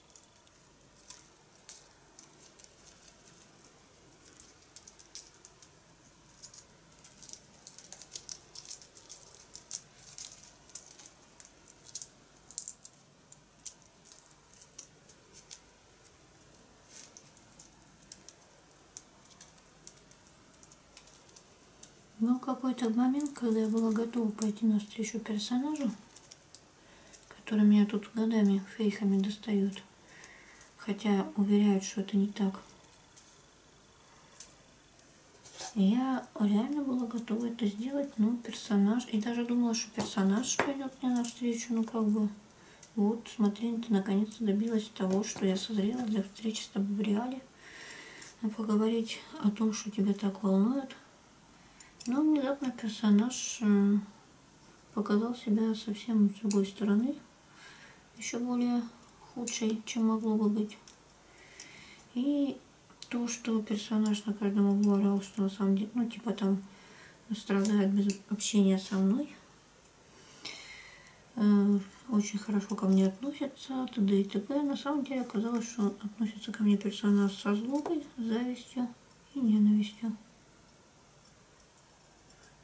Но какой-то момент, когда я была готова пойти навстречу персонажу, которые меня тут годами фейками достают. Хотя уверяют, что это не так. И я реально была готова это сделать, но персонаж... И даже думала, что персонаж пойдет мне навстречу, ну как бы... Вот, смотри, ты наконец-то добилась того, что я созрела для встречи с тобой в реале. Ну, поговорить о том, что тебя так волнует. Но внезапно персонаж показал себя совсем с другой стороны, еще более худшей, чем могло бы быть. И то, что персонаж на каждом углу орал, что на самом деле, ну, типа там страдает без общения со мной, э, очень хорошо ко мне относятся, т.д. и т.п. На самом деле оказалось, что относится ко мне персонаж со злобой, завистью и ненавистью.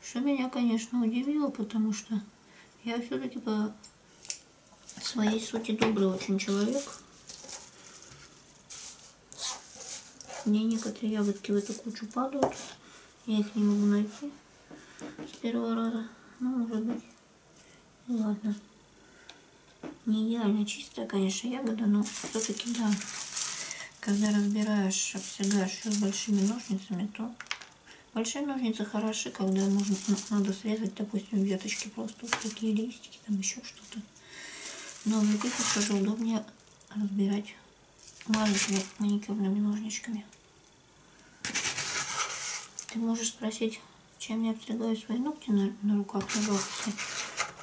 Что меня, конечно, удивило, потому что я все-таки по своей сути добрый очень человек. Мне некоторые ягодки в эту кучу падают. Я их не могу найти с первого раза. Ну, может быть. Ладно. Не идеально чистая, конечно, ягода, но все-таки да когда разбираешь, обсягаешь все с большими ножницами, то большие ножницы хороши, когда можно, надо срезать, допустим, веточки просто, вот такие листики, там еще что-то. Но в таких уже удобнее разбирать маленькими маникюрными ножничками. Ты можешь спросить, чем я обстригаю свои ногти на, на руках, на голосе.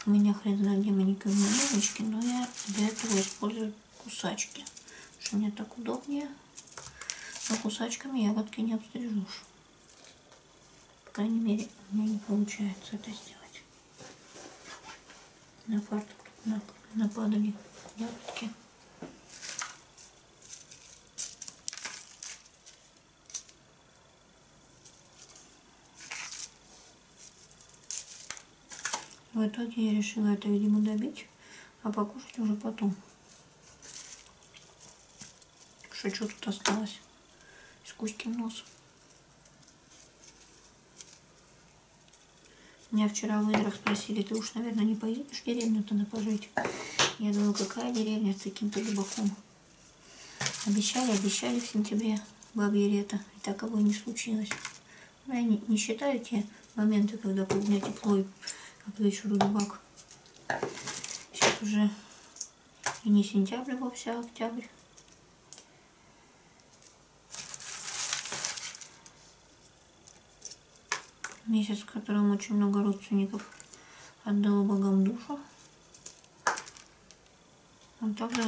У меня хрен знает где маникюрные ножички, но я для этого использую кусачки. Потому что мне так удобнее. Но кусачками ягодки не обстрижешь. По крайней мере, у меня не получается это сделать. На фартук на, нападали ягодки. В итоге я решила это, видимо, добить, а покушать уже потом. Шучу, тут осталось с кузьким носом. Меня вчера в Идрах спросили, ты уж, наверное, не поедешь в деревню-то на пожить? Я думаю, какая деревня с таким-то рыбаком? Обещали, обещали в сентябре бабье лето, и таково не случилось. Вы ну, не, не считаете моменты, когда у меня тепло и когда еще дубак? Сейчас уже и не сентябрь вовсе, а октябрь. Месяц, в котором очень много родственников отдала богам душу. Он также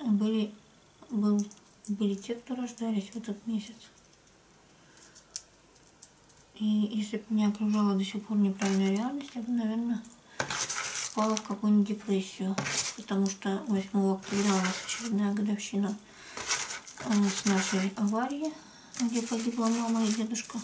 были, был, были те, кто рождались в этот месяц. И если бы меня окружала до сих пор неправильная реальность, я бы, наверное, впала в какую-нибудь депрессию. Потому что 8 октября у нас очередная годовщина э, с нашей аварии, где погибла мама и дедушка.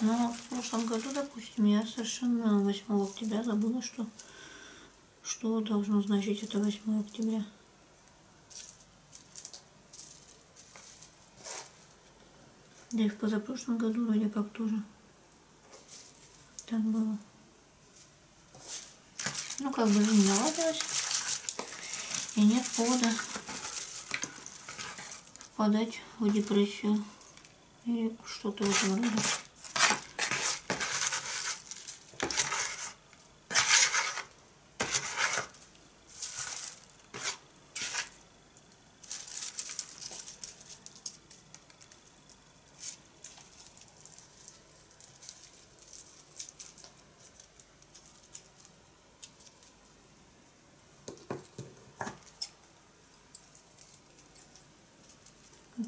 Но ну, в прошлом году, допустим, я совершенно 8 октября забыла, что, что должно значить это 8 октября. Да и в позапрошлом году вроде как тоже так было. Ну, как бы жизнь наладилась. И нет повода впадать в депрессию. Или что-то в этом роде.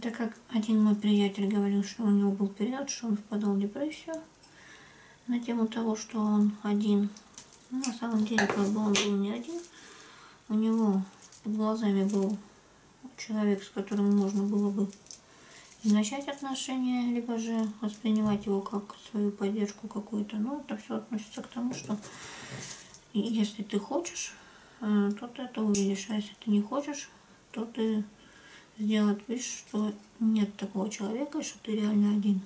Так как один мой приятель говорил, что у него был период, что он впадал в депрессию на тему того, что он один. Ну, на самом деле, как бы он был не один, у него под глазами был человек, с которым можно было бы и начать отношения, либо же воспринимать его как свою поддержку какую-то. Ну, это все относится к тому, что если ты хочешь, э, то ты это увидишь, а если ты не хочешь, то ты сделать вид, что нет такого человека, и что ты реально один.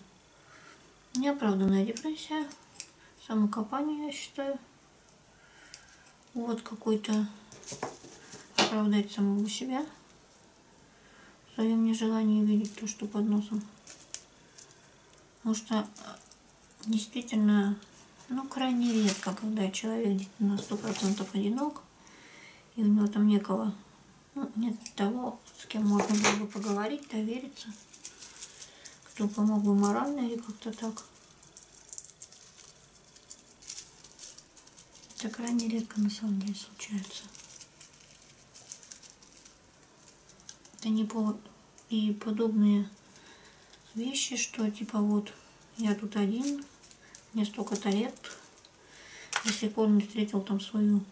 Неоправданная депрессия, самокопание, я считаю. Вот какой-то оправдать самого себя в своем нежелании видеть то, что под носом. Потому что э, действительно, ну, крайне редко, когда человек на сто процентов одинок, и у него там некого, ну, нет того, с кем можно было бы поговорить, довериться, кто помог бы морально или как-то так. Так крайне редко на самом деле случается. Это не повод. И подобные вещи, что типа вот я тут один, мне столько-то лет, до сих пор не встретил там свою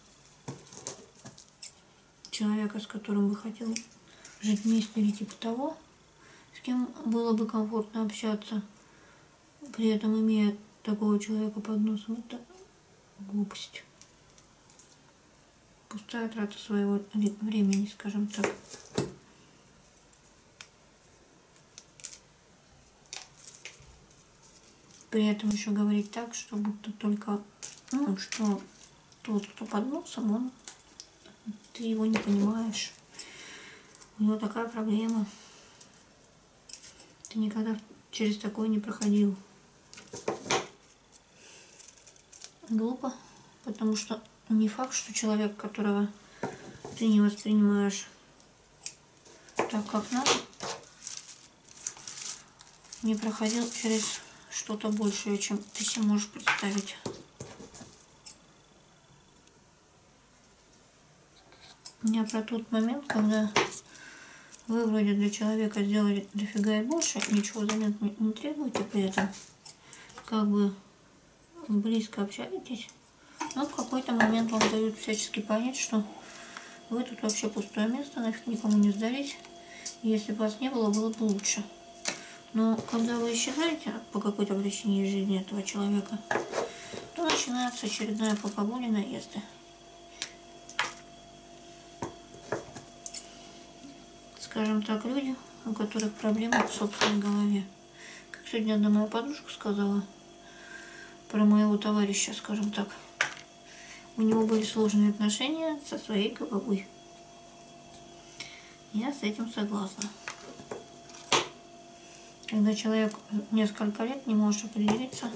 человека, с которым бы хотел жить вместе или типа того, с кем было бы комфортно общаться при этом имея такого человека под носом, это глупость. Пустая трата своего времени, скажем так. При этом еще говорить так, что будто только, ну, ну, что тот, кто под носом, он, ты его не понимаешь. У ну, него такая проблема. Ты никогда через такое не проходил. Глупо, потому что не факт, что человек, которого ты не воспринимаешь так, как надо, не проходил через что-то большее, чем ты себе можешь представить. Я про тот момент, когда вы вроде для человека сделали дофига и больше, ничего занят не требуете при этом, как бы близко общаетесь, но в какой-то момент вам дают всячески понять, что вы тут вообще пустое место, нафиг никому не сдались. Если бы вас не было, было бы лучше. Но когда вы исчезаете по какой-то причине из жизни этого человека, то начинается очередная пополудина езды. Скажем так, люди, у которых проблемы в собственной голове. Как сегодня одна моя подружка сказала про моего товарища, скажем так. У него были сложные отношения со своей головой. Я с этим согласна когда человек несколько лет не может определиться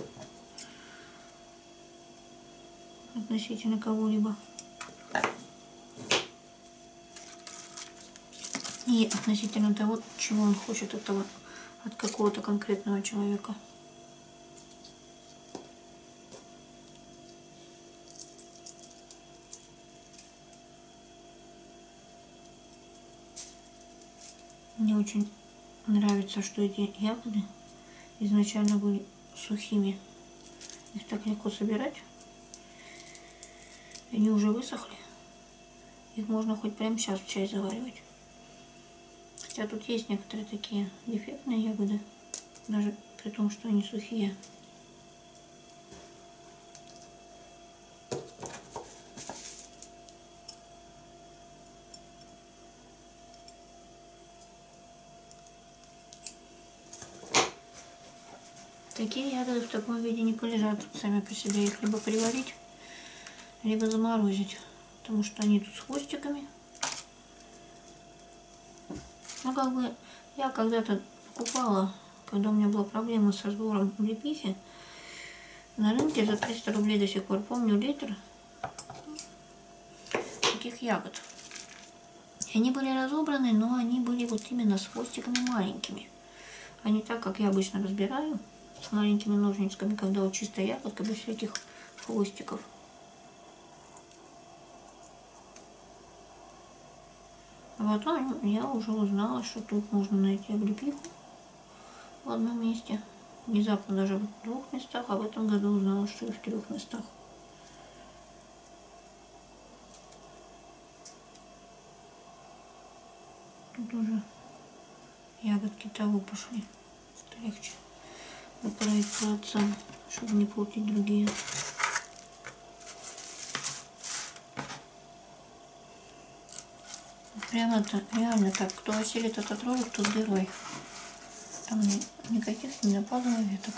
относительно кого-либо. И относительно того, чего он хочет этого от какого-то конкретного человека. Мне очень нравится, что эти ягоды изначально были сухими. Их так легко собирать. Они уже высохли. Их можно хоть прямо сейчас в чай заваривать. Хотя тут есть некоторые такие дефектные ягоды. Даже при том, что они сухие. Такие ягоды в таком виде не полежат сами по себе. Их либо приварить, либо заморозить. Потому что они тут с хвостиками. Ну, как бы я когда-то покупала когда у меня была проблема со сбором облепихи, на рынке за 300 рублей до сих пор помню литр таких ягод. И они были разобраны, но они были вот именно с хвостиками маленькими. А не так, как я обычно разбираю, с маленькими ножничками, когда вот чистая ягодка, без всяких хвостиков. А потом ну, я уже узнала, что тут можно найти облепиху в одном месте. Внезапно даже в двух местах, а в этом году узнала, что и в трех местах. Тут уже ягодки того пошли. Это легче отправить по отцам, чтобы не платить другие. Прямо так, реально так. Кто осилит этот ролик, тот герой. Там никаких не нападало веток.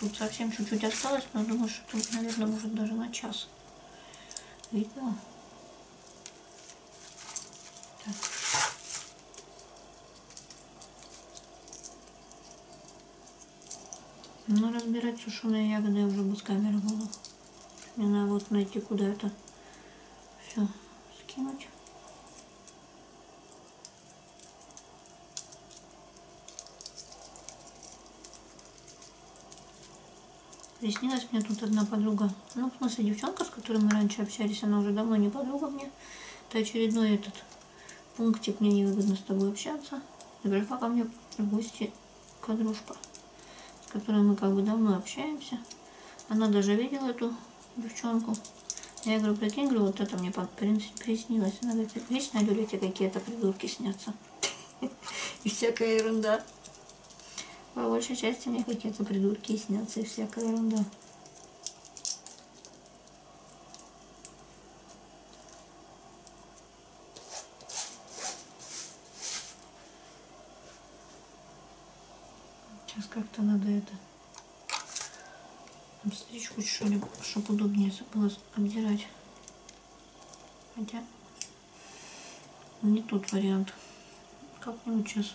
Тут совсем чуть-чуть осталось, но я думаю, что тут, наверное, может даже на час. Видно? Так. Ну, разбирать сушеные ягоды я уже без камеры буду. Мне надо вот найти, куда это все скинуть. Приснилась мне тут одна подруга. Ну, в смысле, девчонка, с которой мы раньше общались, она уже давно не подруга мне. Это очередной этот пунктик, мне невыгодно с тобой общаться. И пришла ко мне в гости подружка, с которой мы как бы давно общаемся. Она даже видела эту девчонку. Я говорю, прикинь, говорю, вот это мне приснилось. Она говорит, вечно люди какие-то придурки снятся. И всякая ерунда. По большей части мне какие-то придурки снятся и всякая ерунда. Сейчас как-то надо это обстричь хоть что ли, чтобы удобнее было обдирать. Хотя не тот вариант. Как-нибудь сейчас.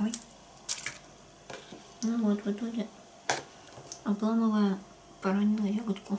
Ой. Ну вот, в итоге, обламывая, поранила ягодку.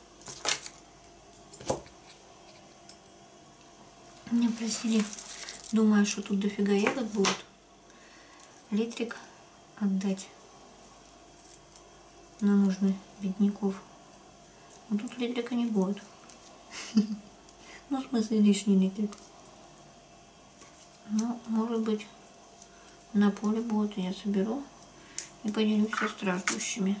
Меня просили, думаю, что тут дофига ягод будет, литрик отдать на нужды бедняков. Но ну, тут литрика не будет. Ну, в смысле, лишний литрик. Ну, может быть, на поле будет, я соберу и поделюсь со страждущими.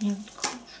мелко уже.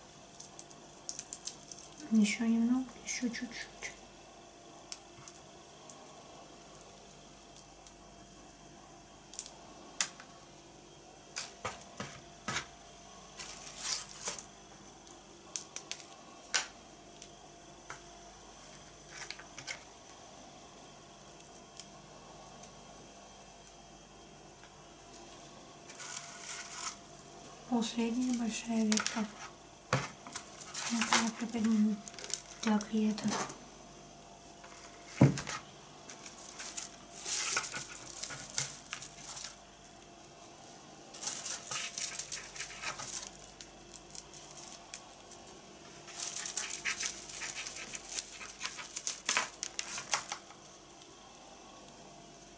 Еще немного, еще чуть-чуть последняя большая ветка. Это ну, я приподниму. Так, и это.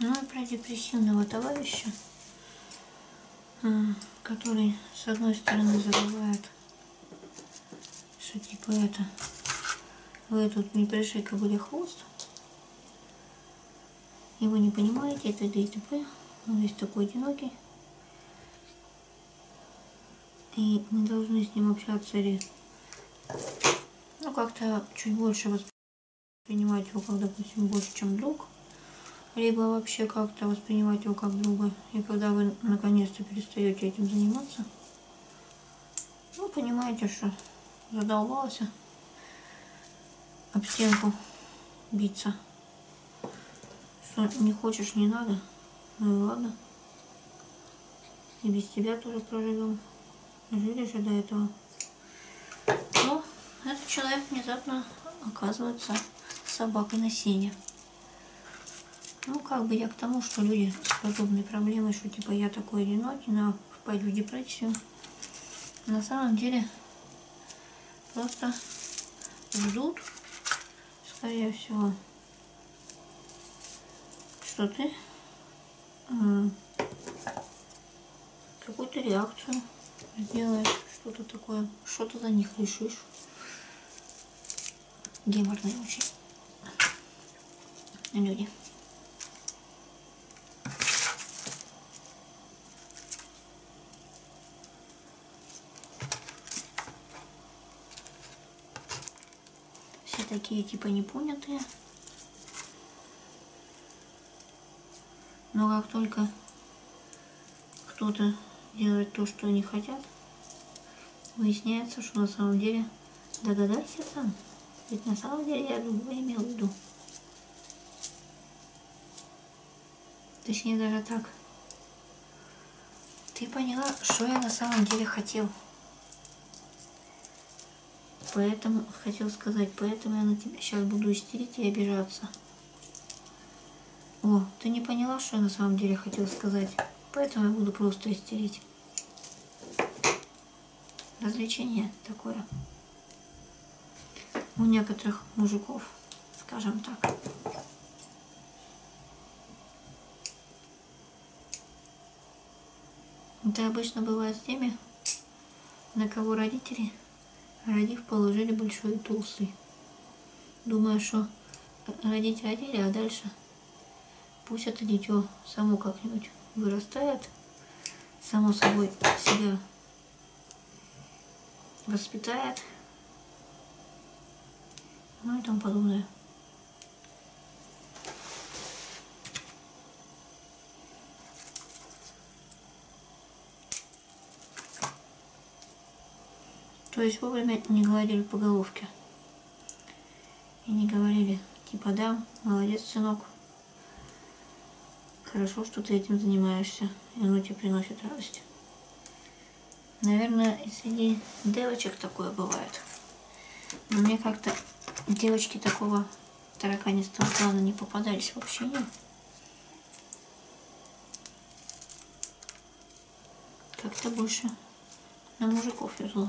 Ну и про депрессивного товарища, э, который с одной стороны забывает что типа это, вы тут не пришикали хвост, и вы не понимаете, это ДТП, ну, он весь такой одинокий, и мы должны с ним общаться или, ну, как-то чуть больше воспринимать его, как, допустим, больше, чем друг, либо вообще как-то воспринимать его как друга. И когда вы наконец-то перестаете этим заниматься, ну, понимаете, что задолбалась об стенку биться. Что не хочешь, не надо. Ну и ладно. И без тебя тоже проживем. Жили же до этого. Но ну, этот человек внезапно оказывается собакой на сене. Ну, как бы я к тому, что люди с подобной проблемой, что типа я такой одинокий, но пойду в депрессию. На самом деле просто ждут, скорее всего, что ты какую-то реакцию сделаешь, что-то такое, что-то за них решишь геморные очень люди. Все такие типа непонятые. Но как только кто-то делает то, что они хотят, Выясняется, что на самом деле догадайся сам. Ведь на самом деле я любую имел в виду. Точнее даже так. Ты поняла, что я на самом деле хотел. Поэтому, хотел сказать, поэтому я на тебя сейчас буду истерить и обижаться. О, ты не поняла, что я на самом деле хотел сказать. Поэтому я буду просто истерить. Развлечение такое. У некоторых мужиков, скажем так. Это обычно бывает с теми, на кого родители, родив, положили большой и толстый. Думаю, что родители одели, а дальше Пусть это дитё само как-нибудь вырастает, само собой себя воспитает, ну и тому подобное. То есть вовремя не гладили по головке. И не говорили, типа, да, молодец, сынок. Хорошо, что ты этим занимаешься, и оно тебе приносит радость. Наверное, и среди девочек такое бывает. Но мне как-то девочки такого тараканистого плана не попадались вообще нет. Как-то больше на мужиков везло.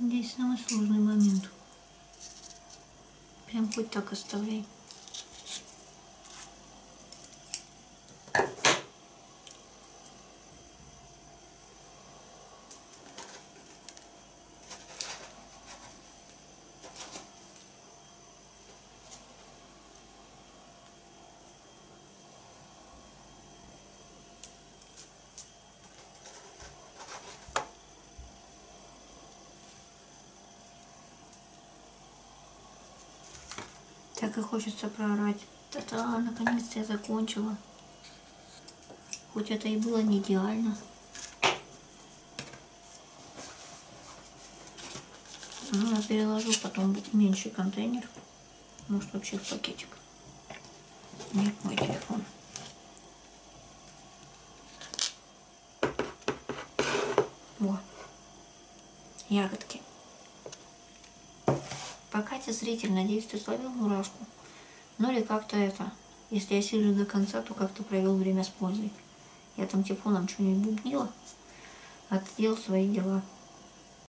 Здесь самый сложный момент. Прям хоть так оставляй. Так и хочется проорать. Та-та, наконец-то я закончила. Хоть это и было не идеально. Ну, я переложу потом меньший контейнер. Может вообще в пакетик? Нет, мой телефон. Во. Ягодки. Пока ты зритель, надеюсь, ты словил мурашку. Ну или как-то это. Если я сижу до конца, то как-то провел время с пользой. Я там телефоном типа что-нибудь бубнила, а ты делал свои дела.